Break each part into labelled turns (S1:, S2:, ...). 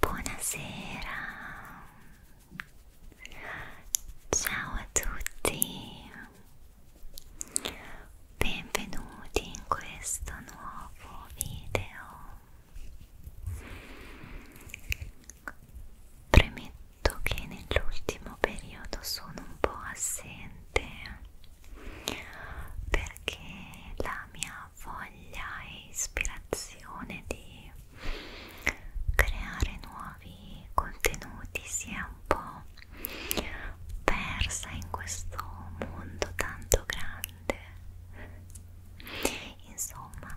S1: Buonasera, ciao a tutti, benvenuti in questo nuovo video. Premetto noto che nell'ultimo periodo sono un po' assente perché la mia voglia e ispirazione di creare nuovi contenuti si è un po' persa in questo mondo tanto grande insomma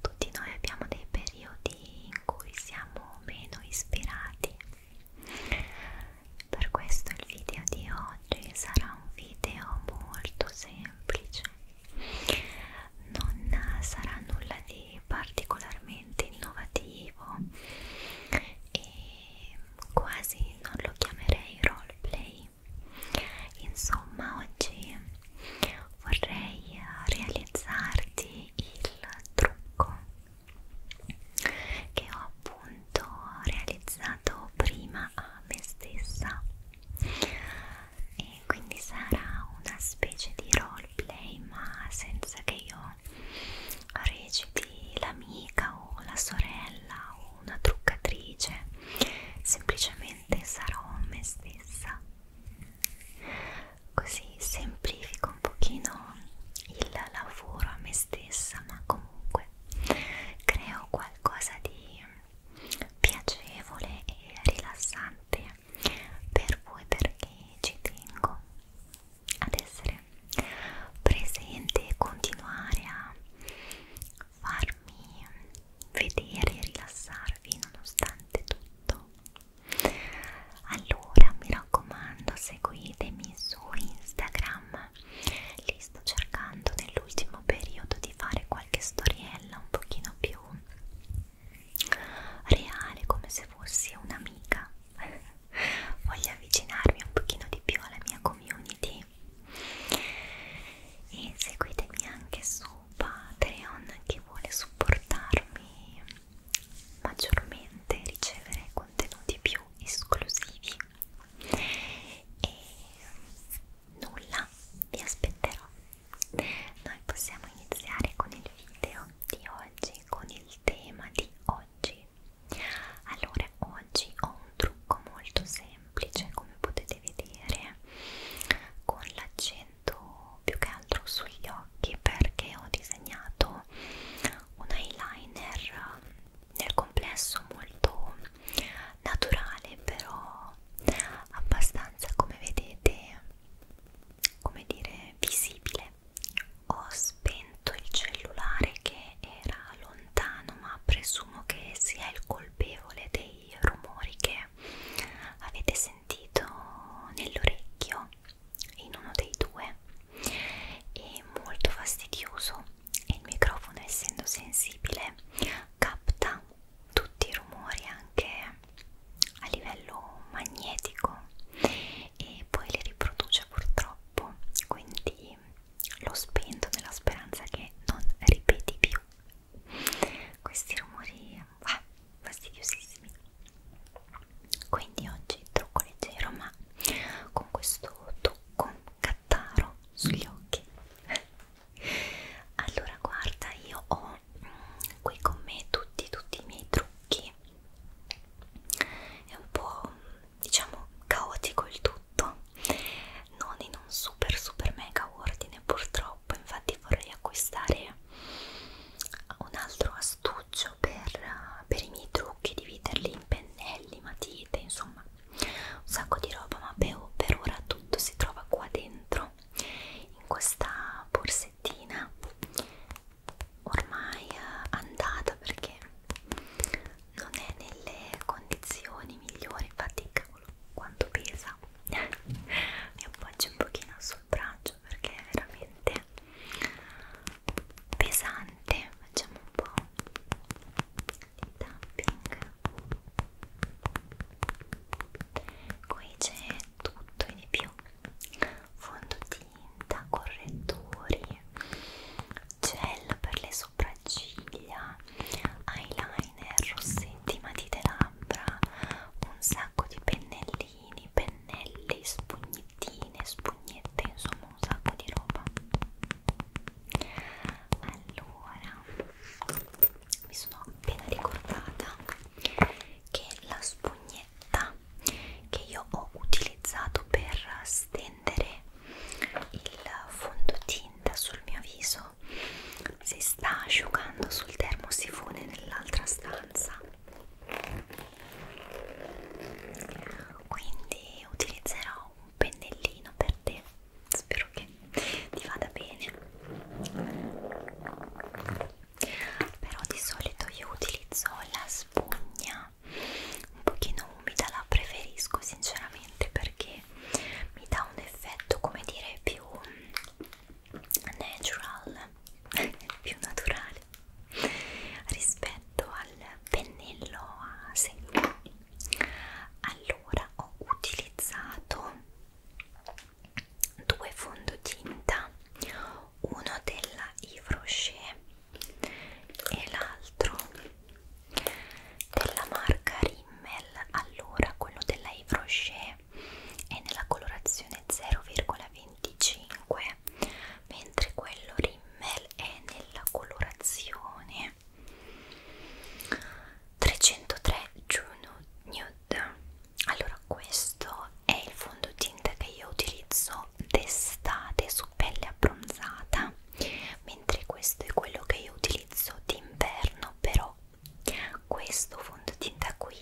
S1: tutti noi abbiamo dei periodi in cui siamo meno ispirati per questo il video di oggi sarà un video molto semplice, non sarà nulla di particolarmente innovativo e quasi non lo chiamerei roleplay. Insomma, oggi vorrei realizzarti il trucco che ho appunto realizzato prima a me stessa e quindi sarà una specie di roleplay ma senza che io reciti l'amica o la sorella o una truccatrice semplicemente sarò me stessa così semplifico un pochino il lavoro a me stessa ma comunque creo qualcosa di piacevole e rilassante per voi perché ci tengo ad essere presente e continuare a farmi vedere e rilassarvi nonostante tutto allora mi raccomando seguitemi su Instagram lì sto cercando nell'ultimo periodo di fare qualche storiella un pochino più reale come se fossi un'amica voglio avvicinarmi un pochino di più alla mia community e seguitemi anche su Patreon chi vuole supportarmi maggiormente ricevere contenuti più esclusivi e nulla vi aspetterò noi possiamo iniziare con il video di oggi con il tema di oggi allora oggi ho un trucco molto semplice come potete vedere con l'accento più che altro sugli occhi perché ho disegnato uso un eyeliner nel complesso molto naturale però abbastanza come vedete come dire visibile ho spento il cellulare che era lontano ma presumo che sia il colpevole dei rumori che avete sentito nell'orecchio in uno dei due è molto fastidioso e il microfono essendo sensibile capta tutti i rumori anche a livello magnetico e poi li riproduce purtroppo quindi l'ho spento nella speranza che non ripeti più questi rumori ah, fastidiosissimi quindi oggi trucco leggero ma con questo trucco cattaro sugli mm. occhi allora guarda io ho mm, qui con me tutti tutti i miei trucchi è un po' diciamo caotico il tutto non in un super super mega ordine purtroppo infatti vorrei acquistare un altro astuto uso per, per i miei trucchi, dividerli in pennelli, matite, insomma un sacco di roba, ma per, per ora tutto si trova qua dentro in questa borsettina ormai eh, andata perché non è nelle condizioni migliori infatti cavolo quanto pesa mi appoggio un pochino sul braccio perché veramente pesante facciamo un po' di tapping qui c'è tutto e di più fondotinta, correttori gel per le sopracciglia eyeliner, rossetti, matite labbra un sacco di pennellini pennellini, pennelli, spugnettine, spugnette, insomma un sacco di roba. Allora, mi sono appena ricordata che la spugnetta che io ho utilizzato per stendere il fondotinta sul mio viso si sta asciugando sul termosifone nell'altra stanza quindi utilizzerò un pennellino per te spero che ti vada bene però di solito io utilizzo la spugna un pochino umida la preferisco sinceramente perché mi dà un effetto come dire più natural più naturale rispetto al pennello a secco allora ho utilizzato due fondotinta uno della Yves Rocher e l'altro della marca Rimmel allora quello della Yves Rocher è nella colorazione 0,25 mentre quello Rimmel è nella colorazione 303 Juno Nude allora questo è il fondotinta che io utilizzo d'estate su pelle abbronzata mentre questo è quello che io utilizzo d'inverno però questo fondotinta qui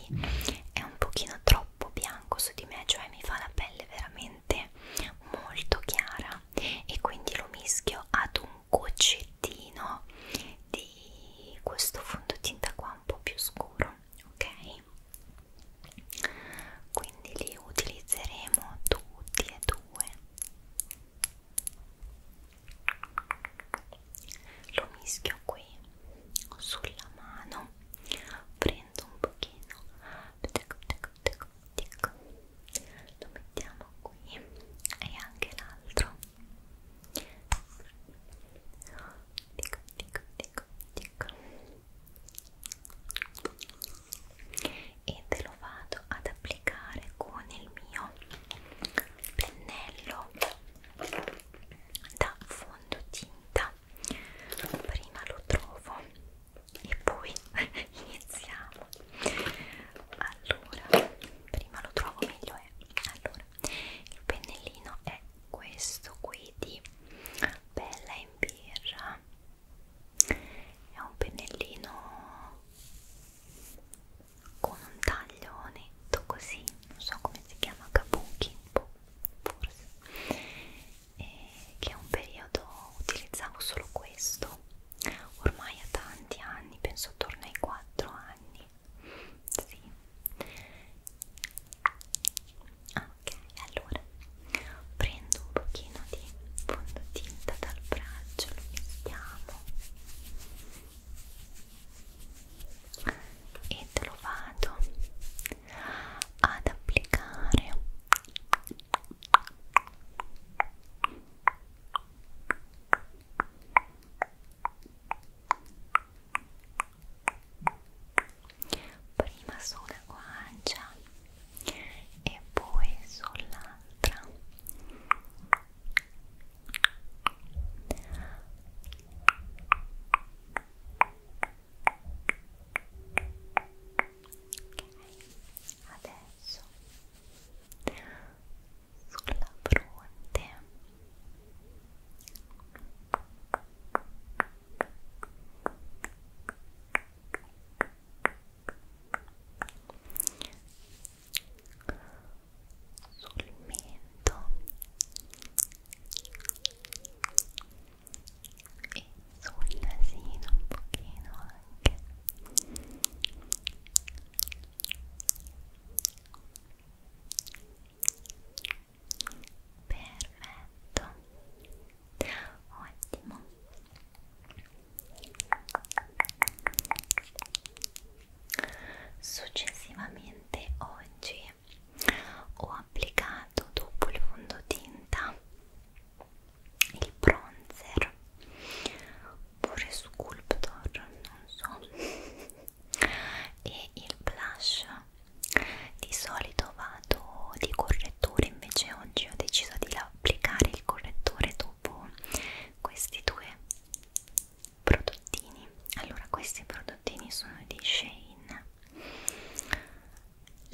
S1: è un pochino troppo troppo bianco su di me cioè mi fa la pelle veramente molto chiara e quindi lo mischio ad un goccettino di questo fondotinta qua un po' più scuro ok quindi li utilizzeremo tutti e due lo mischio qui sulla mano prendo spento un pochino tic, tic, tic, tic. lo mettiamo qui e anche l'altro tic, tic, tic, tic. e te lo vado ad applicare con il mio pennello da fondotinta prima prima lo trovo e poi iniziamo allora prima lo trovo meglio è allora il pennellino è questo qui di Bella in birra è un pennellino con un taglio netto così non so come si chiama kabuki boh, forse eh, che un periodo utilizzavo solo questo ormai a tanti anni penso attorno ai 4 anni sì ah, ok allora prendo un pochino di fondotinta dal braccio lo mettiamo e te lo vado ad applicare prima sulla guancia e poi sull'altra adesso sulla fronte sul mento e sul nasino un pochino anche perfetto ottimo successivamente oggi ho applicato dopo il fondotinta il bronzer pure sculptor non so e il blush di solito vado di correttore invece oggi ho deciso di applicare il correttore dopo questi due prodottini allora questi prodottini prodottini sono di Shane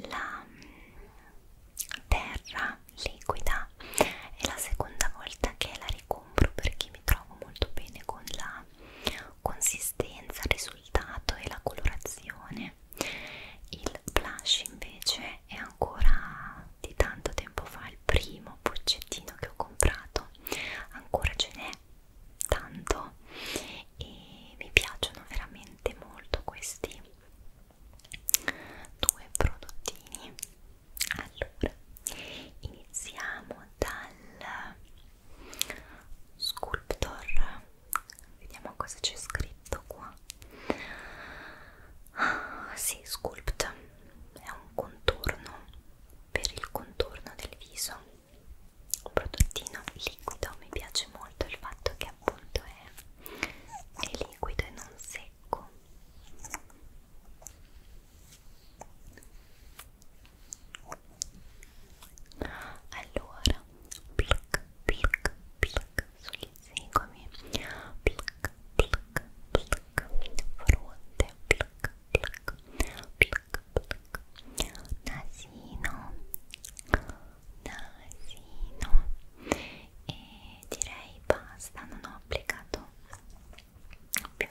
S1: la mm, terra liquida è la seconda volta che la ricompro perché mi trovo molto bene con la consistenza, il risultato e la colorazione il blush invece è ancora di tanto tempo fa il primo puzzettino che ho comprato ancora ce n'è tanto e mi piacciono veramente molto questi due prodottini allora iniziamo dal sculptor vediamo cosa c'è scritto qua ah, si sì, sculpt è un contorno per il contorno del viso un prodottino liquido, mi piace molto il fatto che appunto è, è liquido e non secco allora pluck pluck pluck sugli zigomi pluck pluck pluck fronte pluck pluck pluck nasino nasino e direi basta non ho applicato più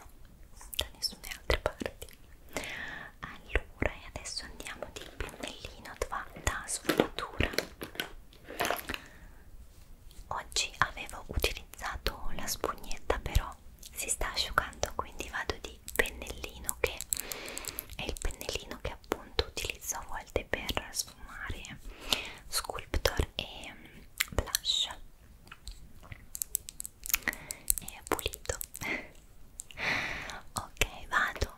S1: da nessuna altra parte allora e adesso andiamo di pennellino da sfumatura oggi avevo utilizzato la spugnetta però si sta asciugando quindi vado di pennellino che è il pennellino che appunto utilizzo a volte per sfumare sculptor e mm, blush è pulito ok vado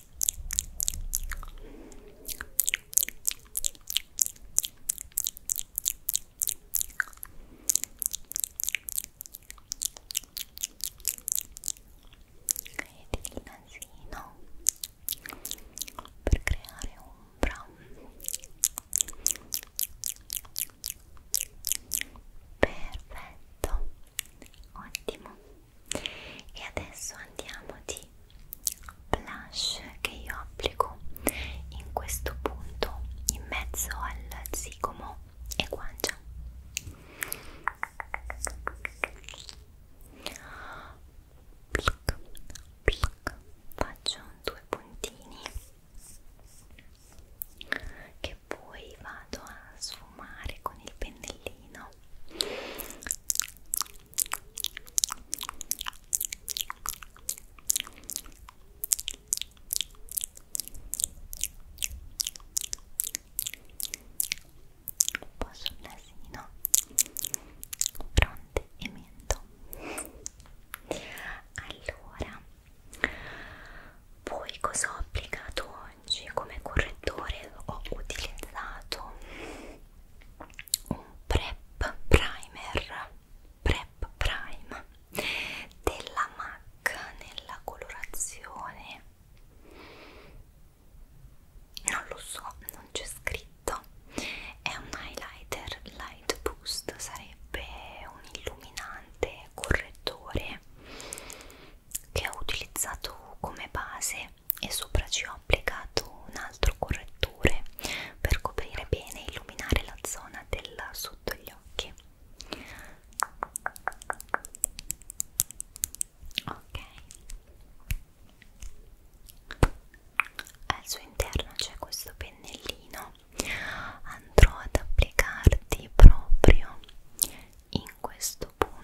S1: Vedete il nasino per creare ombra perfetto ottimo e adesso andiamo di blush che io applico in questo punto in mezzo al zigomo e guancia Plic, plic. faccio due puntini che poi vado a sfumagliare profumare con il pennellino un po' sul nasino fronte e mento allora poi cosa ho applicato oggi come correttore ho utilizzato un prep primer prep prime della MAC nella colorazione non lo so non c'è scritto è un highlighter light boost sarebbe un illuminante correttore che ho utilizzato come base colore e sopra ci ho applicato un altro correttore per coprire bene e illuminare la zona del sotto gli occhi ok al suo interno c'è questo pennellino andrò ad applicarti proprio in questo punto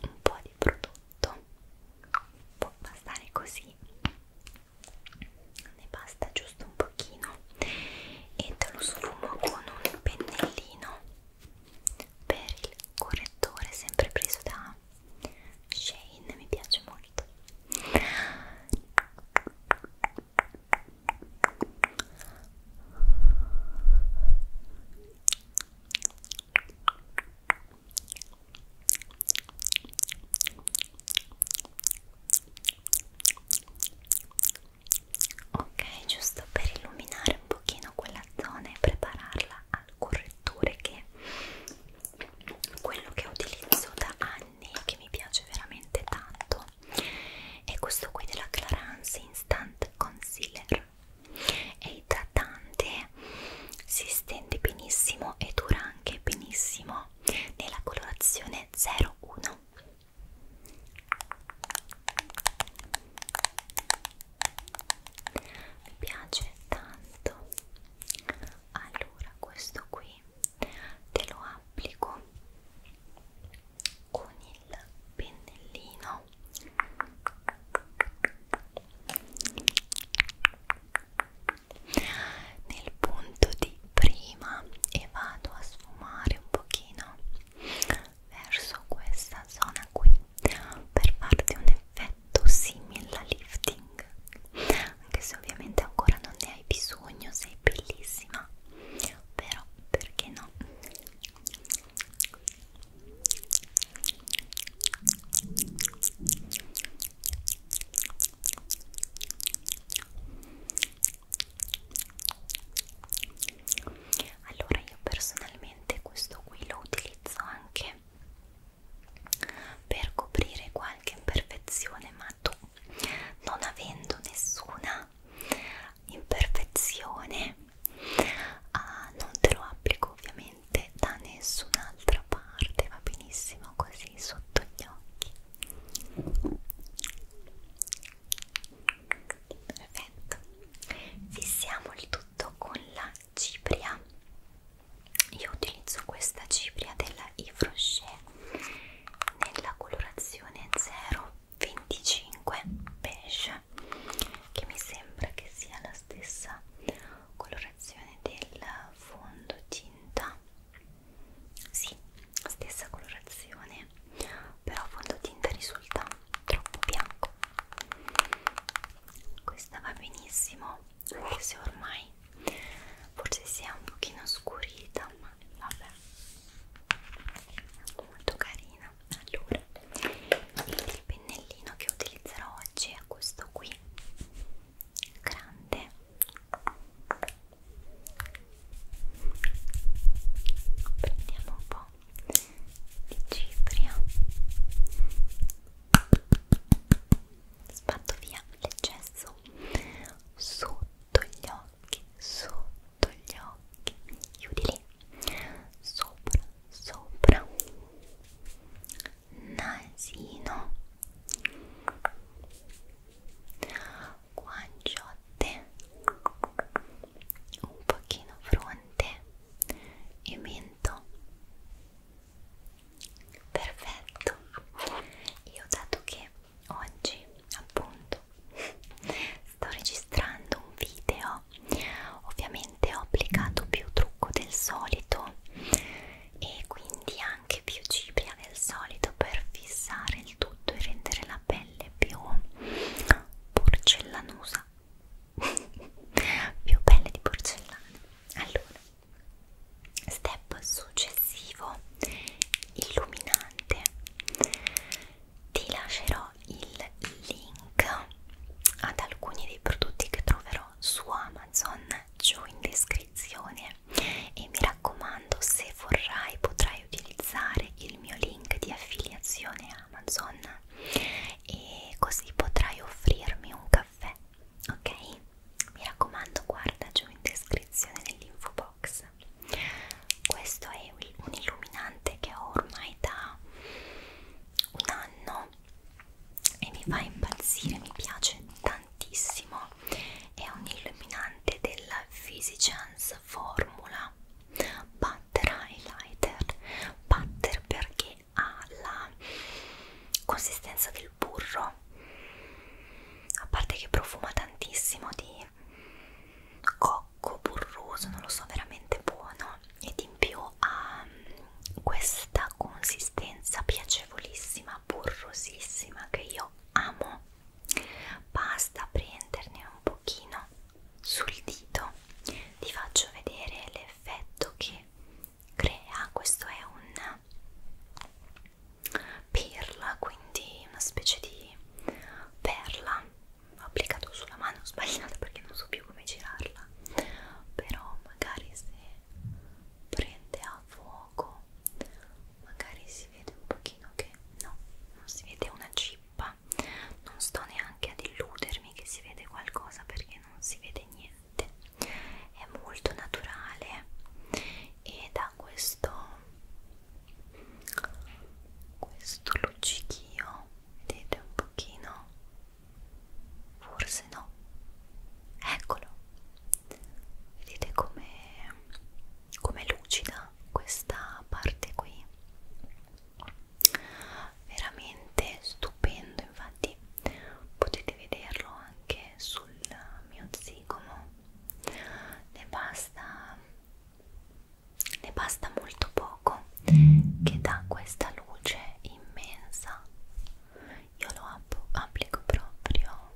S1: un po' di prodotto può bastare così ne basta giusto un pochino e te lo sfumo con un pennellino per il correttore sempre preso da Shane mi piace molto ok giusto per illuminare un pochino quella zona e prepararla a corretture che quello che utilizzo da anni che mi piace veramente tanto è questo qui della Clarance Instant Concealer è idratante si stende benissimo e dura anche benissimo nella colorazione 01 mi piace tanto allora questo qui qui te lo applico con il pennellino nel punto di prima e vado a sfumare un pochino verso questa zona qui per farti un effetto effetto simile alla lifting anche se ovviamente ancora non ne hai bisogno sei bellissima però perché no allora io personalmente questo qui lo utilizzo anche per coprire qualche imperfezione ma tu non avendo nessuna imperfezione ah, non te lo applico ovviamente da nessun'altra parte va benissimo così sotto gli occhi perfetto fissiamo il tutto con la cipria io utilizzo questa cipria della Yves Rocher nella colorazione 025 beige che mi sembra che sia la stessa colorazione del fondotinta sì, stessa colorazione però fondotinta risulta troppo bianco questa va benissimo anche se ormai forse si è un pochino scurita ma vabbè molto carina allora il pennellino che utilizzerò oggi è questo qui grande prendiamo un po' di cipria sbatto via l'eccesso sotto gli occhi, sotto gli occhi, chiudi lì, sopra, sopra, nasino, guanciotte, un pochino fronte e mento Perfetto, io dato che oggi appunto sto registrando un video, ovviamente ho applicato più trucco del solito e quindi anche più cipria del solito per fissare il tutto e rendere la pelle più porcellanosa più pelle di porcellana allora step successivo illuminante ti lascerò il link ad alcuni dei prodotti che troverò su Amazon giù in descrizione e mi raccomando se vorrai potrai utilizzare il mio link di affiliazione Amazon e così potrai offrirmi un caffè ok? Mi raccomando, guarda giù in descrizione nell'info box. Questo è un illuminante che ho ormai da un anno e mi fa impazzire, mi piace tantissimo. È un illuminante della Physicians Formula Butter Highlighter. Butter perché ha la consistenza del il burro a parte che profuma tantissimo di cocco burroso non lo so veramente buono ed in più ha mm, questa consistenza piacevolissima burrosissima che io amo basta prenderne un pochino sul dito ti faccio vedere l'effetto che crea questo è un perla quindi una specie di perla ho applicato sulla mano sbagliata perché non so più come girarla però magari se prende a fuoco magari si vede un pochino che no non si vede una cippa non sto neanche ad illudermi che si vede qualcosa perché non si vede niente è molto naturale ed ha questo questo luccichio vedete un pochino forse no eccolo vedete come come lucida questa parte qui veramente stupendo infatti potete vederlo anche sul mio zigomo ne basta ne basta molto poco che dà questa luce immensa io lo app applico proprio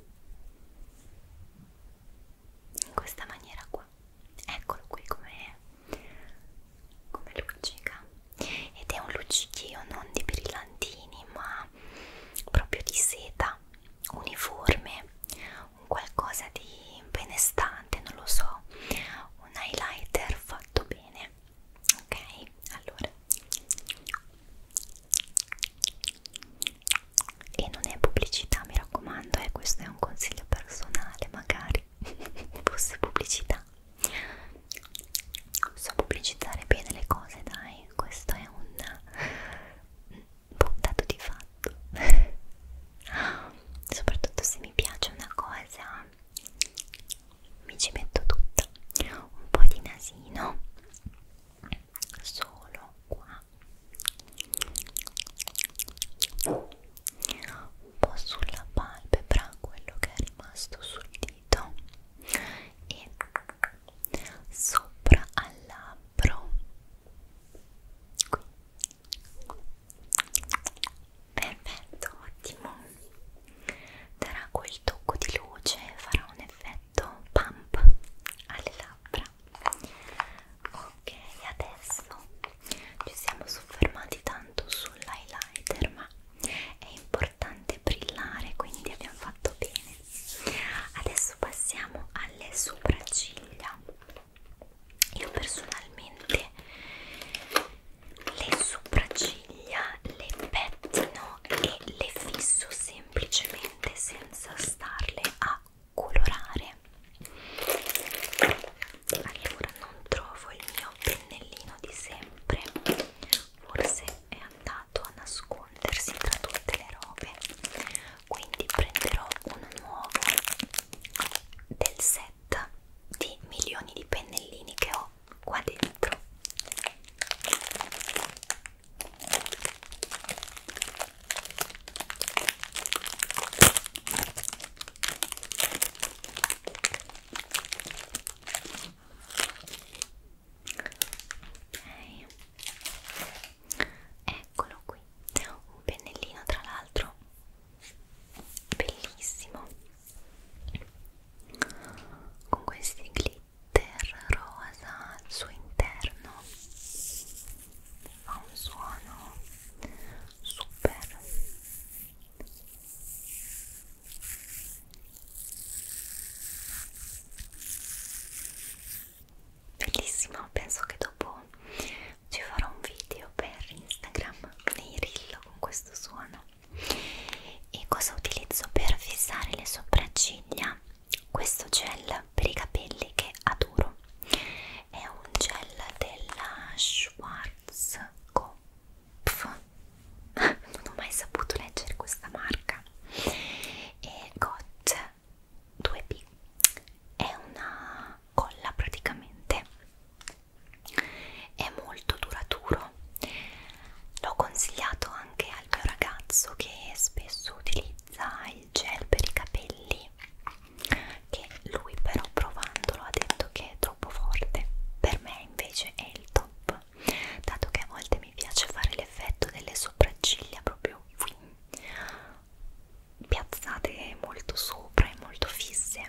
S1: in questa maniera qua eccolo qui come come luccica ed è un luccichio non di brillantini ma ma proprio di seta uniforme un qualcosa di benestante non lo so un highlighter fatto bene ok allora e non è pubblicità mi raccomando eh, questo è un consiglio personale magari fosse pubblicità So pubblicizzare bene le cose, dai, questo è un puntato di fatto. Soprattutto se mi piace una cosa, mi ci metto tutta. Un po' di nasino, solo qua. Un po' sulla palpebra, quello che è rimasto sul dito e sopra al labbro qui perfetto ottimo darà quel tocco di luce farà un effetto pump alle labbra ok adesso ci siamo soffermati tanto sull'highlighter ma è importante importante brillare quindi abbiamo fatto bene adesso passiamo alle sopracciglia io personalmente le sopracciglia le pettino e le fisso semplicemente senza starle a colorare allora non trovo il mio pennellino di sempre forse è andato a nascondersi tra tutte le robe quindi prenderò un nuovo del set di milioni di pennellini che ho qua dentro ok eccolo qui un pennellino tra l'altro bellissimo con questi glitter rosa al suo interno fa un suono super Bellissimo, penso che dopo ci farò un video per Instagram nei reel con questo suono. E cosa utilizzo per fissare le sopracciglia? Questo gel per i capelli che adoro. È un gel della Schwarzkopf non ho mai saputo leggere questa marca e GOT 2B è una colla praticamente è molto duraturo l'ho consigliato anche al mio ragazzo che spesso utilizza il gel per i capelli che lui però provandolo ha detto che è troppo forte per me invece è il top dato che a volte mi piace fare l'effetto delle sopracciglia proprio qui piazzate molto sopra e molto fisse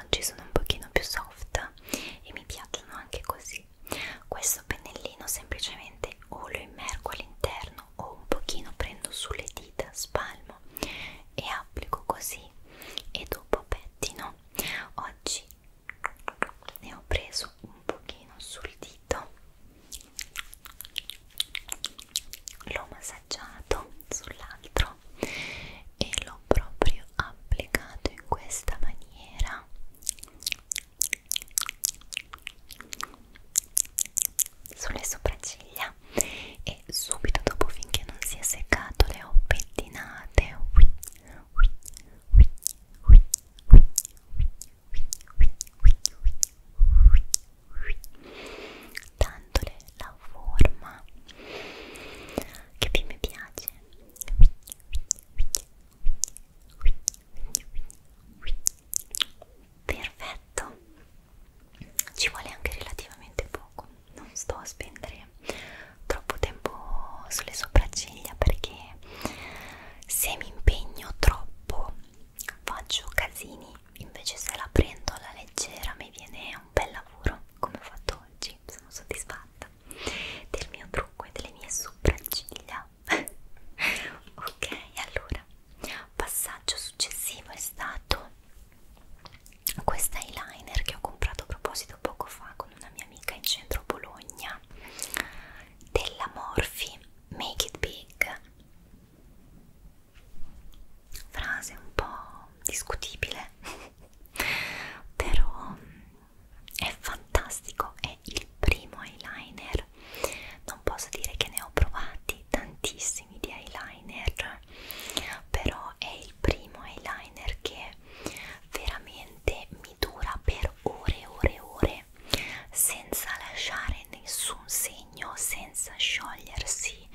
S1: oggi sono un pochino più soft e mi piacciono anche così questo pennellino semplicemente o lo immergo all'interno o un pochino prendo sulle dita spalmo e applico così e dopo pettino oggi ne ho preso un pochino sul dito l'ho massaggiato sull'altro e l'ho proprio applicato in questa maniera sulle sopracciglia e subito dopo finché non si è seccato le ho pettinate ui, ui, ui, ui, ui, dandole la forma che più mi piace perfetto ci vuole anche relativamente poco non sto a spendere troppo tempo sulle sopracciglia perché se mi impegno troppo faccio casini invece se la prendo alla leggera mi viene un bel lavoro come ho fatto oggi sono soddisfatta del mio trucco e delle mie sopracciglia ok allora passaggio successivo è stato questa eyeliner che ho comprato a proposito poco fa con una mia amica in centro Bologna della Morphe Make It Big frase un po' discutibile però è fantastico è il primo eyeliner non posso dire che ne ho provati tantissimi di eyeliner però è il primo eyeliner che veramente mi dura per ore e ore e ore luce senza lasciare nessun segno, senza sciogliersi,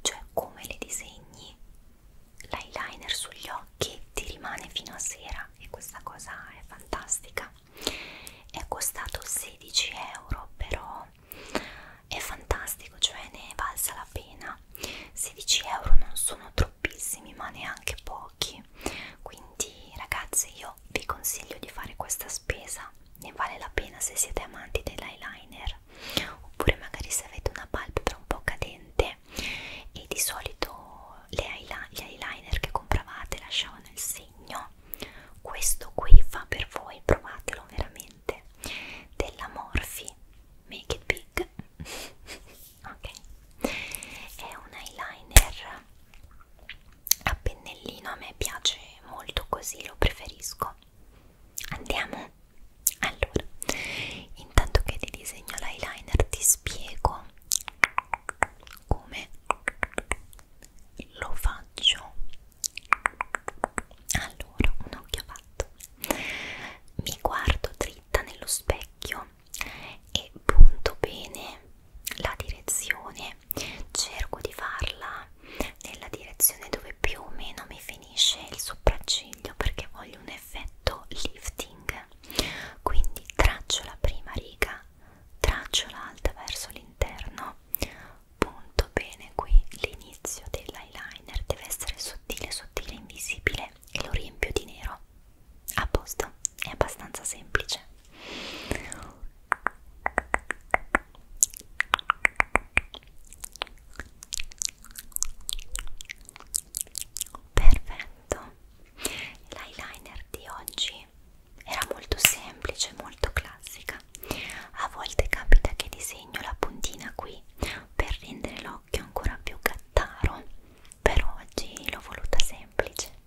S1: cioè come le disegni l'eyeliner sugli occhi ti rimane fino a sera e questa cosa è fantastica. È costato 16 euro, però è fantastico, cioè ne è valsa la pena. 16 euro non sono troppo troppissimi ma neanche pochi quindi ragazze io vi consiglio di fare questa spesa ne vale la pena se siete amanti dell'eyeliner oppure magari se avete una palpebra un po' cadente e di solito le gli eyeliner che compravate lasciavano il segno questo qui fa per voi provatelo veramente della Morphe Make It Big ok è un eyeliner a pennellino a me piace molto così lo preferisco andiamo allora intanto che ti disegno l'eyeliner ti spiego come lo faccio allora un occhio fatto mi guardo dritta nello specchio vista e punto bene la direzione cerco di farla nella direzione dove più o meno mi finisce il sopracciglio perché voglio un effetto lifting quindi traccio la prima riga traccio l'alta verso l'interno punto bene qui l'inizio dell'eyeliner deve essere sottile sottile invisibile e lo riempio di nero a posto, è abbastanza semplice. Perfetto, l'eyeliner di oggi era molto semplice, molto classica. A volte capita che disegno la puntina qui per rendere l'occhio ancora più gattaro, per oggi l'ho voluta semplice.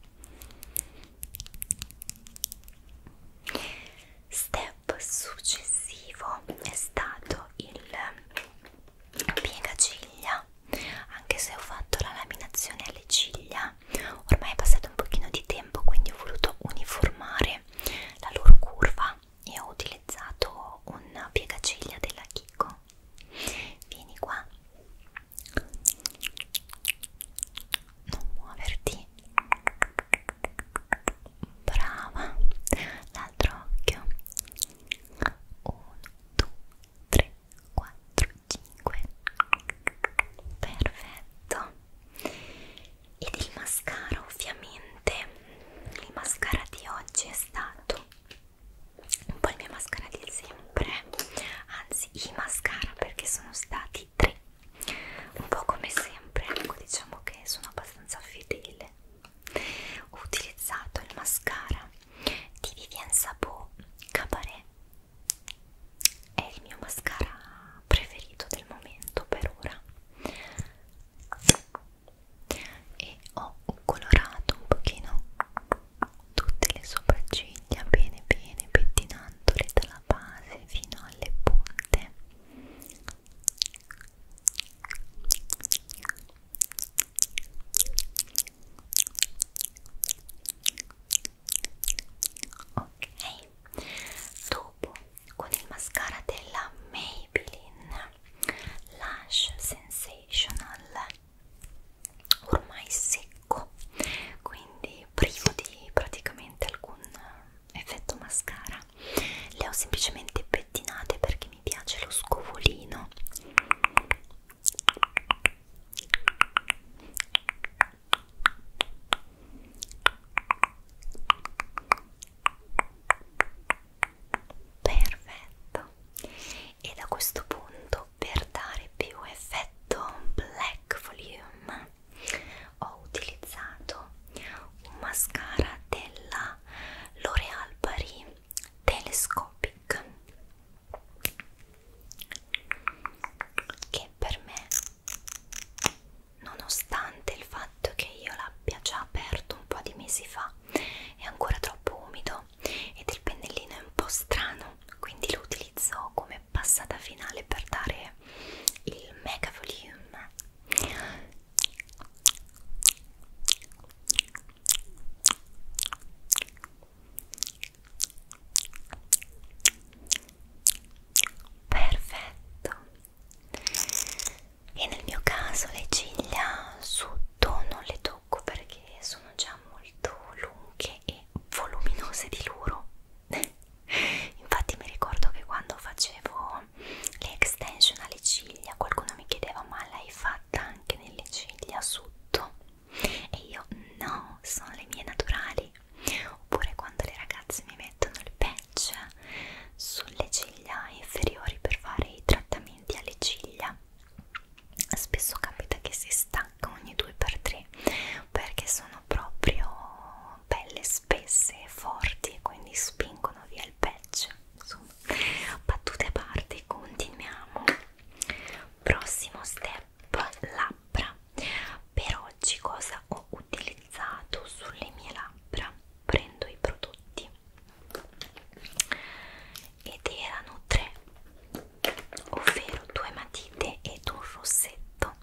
S1: Step successivo è stato il piegaciglia, anche se ho fatto la laminazione alle ciglia, ormai è passato un pochino di tempo quindi ho voluto uniformare la loro curva e ho utilizzato un piegaciglia della Kiko no vieni qua non muoverti brava l'altro occhio 1 2 3 4 5 perfetto ed il mascara ovviamente il mascara di oggi è stato un po' il mio mascara di sempre anzi i mascara perché sono stati tre un po' come sempre ecco diciamo che sono abbastanza fedele ho utilizzato il mascara di Vivienne Sabo Cabaret è il mio mascara preferito del momento per ora e ho colorato un pochino tutte le sopracciglia bene bene pettinandole dalla base fino alle punte ok dopo con il mascara della Maybelline Lash Sensational ormai secco quindi privo di praticamente alcun effetto mascara le ho semplicemente pettinate perché mi piace lo scovolino perfetto e da questo punto per dare più effetto black volume ho utilizzato un mascara della L'Oreal Paris Telescopic che per me nonostante il fatto che io l'abbia già aperto un po' di mesi fa è ancora troppo umido nero ed il pennellino è un po' strano quindi lo utilizzo come passata finale per dare il mega volume perfetto e nel mio caso le ciglia su tono le do trucco perché sono già molto lunghe e voluminose di loro infatti mi ricordo che quando facevo le extension alle ciglia qualcuno mi chiedeva ma l'hai fatta anche nelle ciglia sotto e io no sono le mie naturali oppure quando le ragazze mi mettono il patch sulle ciglia inferiori per fare i trattamenti alle ciglia spesso capita che si stacca ogni 2x3 perché sono proprio pelle spesse e forti e quindi spingono via il patch insomma battute a parte continuiamo prossimo step labbra per oggi cosa ho utilizzato sulle mie labbra prendo i prodotti ed erano tre ovvero due matite ed un rossetto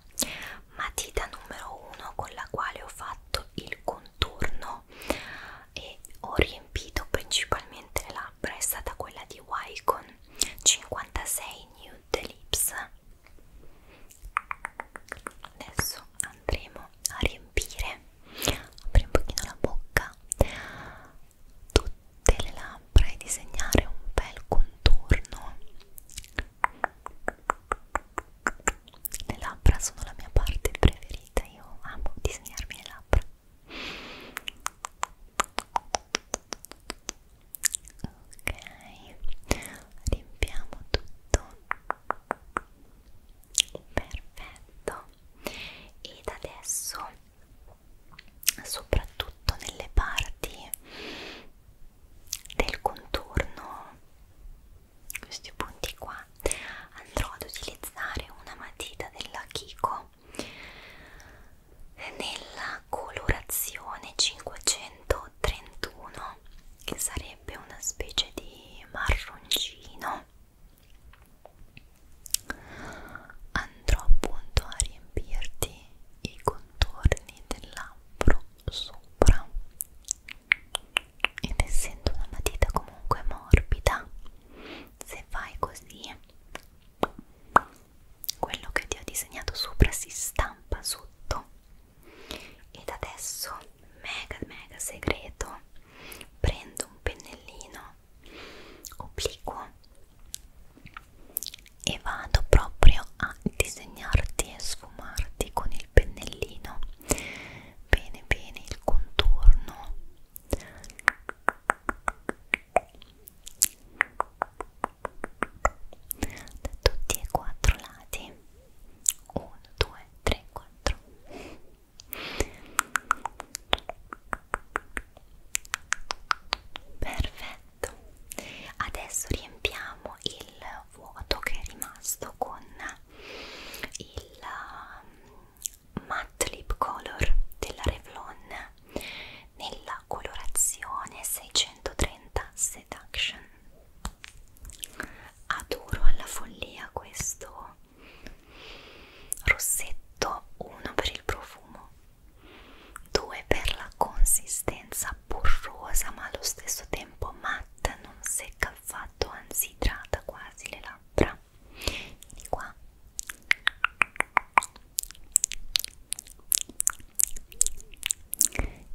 S1: matita numero 1 con la quale ho fatto il contorno e ho riempito principalmente le labbra è stata quella di Wycon 56 Nude Lips adesso andremo a riempire apri un pochino la bocca tutte le labbra e disegnare un bel contorno. Le labbra sono la mia parte preferita, io amo disegnarmi le labbra. Ok, riempiamo tutto. Perfetto. Ed adesso soprattutto nelle parti del contorno questi punti qua andrò ad utilizzare una matita della Kiko nella colorazione 531 che sarebbe una specie di marroncino andrò appunto a riempirti i contorni del labbro sopra ed essendo una matita comunque morbida se fai così quello che ti ho disegnato sopra si stampa sotto ed adesso mega mega segreto prendo un pennellino obliquo e vado proprio a disegnarti e sfumarti con il pennellino bene bene il contorno da tutti e quattro lati 1 2 3 4 perfetto adesso riempiamo il vuoto che è rimasto con il um, matte lip color della Revlon nella colorazione 630 seduction adoro alla follia questo rossetto uno per il profumo 2 per la consistenza burrosa ma allo stesso tempo matta, non secca affatto, anzi idrata quasi le labbra. Vieni qua.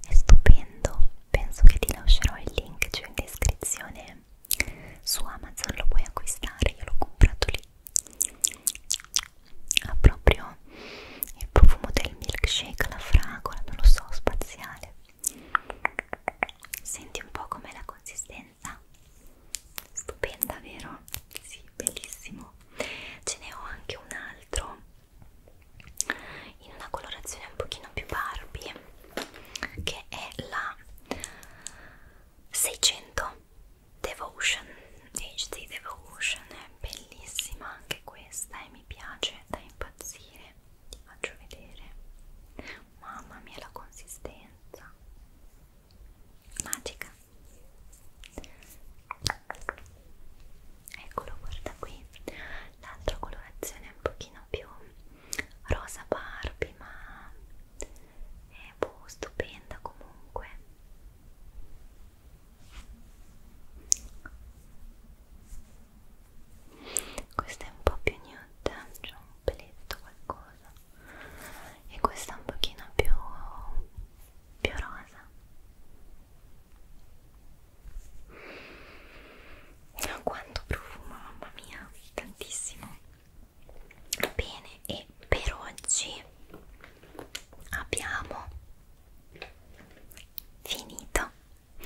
S1: È stupendo, penso che ti lascerò il link giù in descrizione. Su Amazon lo puoi acquistare, io l'ho comprato lì ha proprio il profumo del milkshake, la fragola, non lo so, spaziale senti un po' com'è la consistenza stupenda vero? sì, bellissimo ce ne ho anche un altro in una colorazione un pochino più Barbie che è la 600 Devotion HD Devotion è bellissima anche questa e mi piace da impazzire ti faccio vedere mamma mia la consistenza magica eccolo guarda qui l'altra colorazione è un pochino più rosa Barbie ma è boh, stupenda comunque questa è un po' più nude c'è cioè un peletto qualcosa e questa è un pochino più più rosa quanto profumo mamma mia tantissimo bene e per oggi abbiamo finito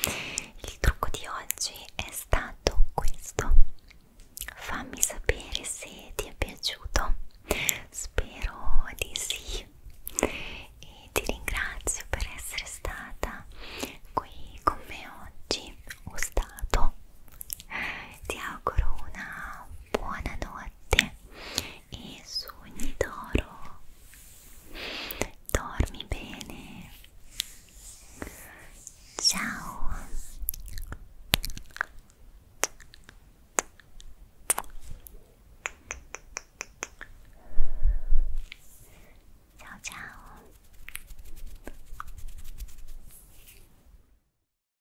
S1: il trucco di oggi è stato questo fammi sapere se ti è piaciuto spero di sì e ti ringrazio per essere stata qui con me oggi o stato ti auguro una buona notte e sogni d'oro dormi bene ciao ciao ciao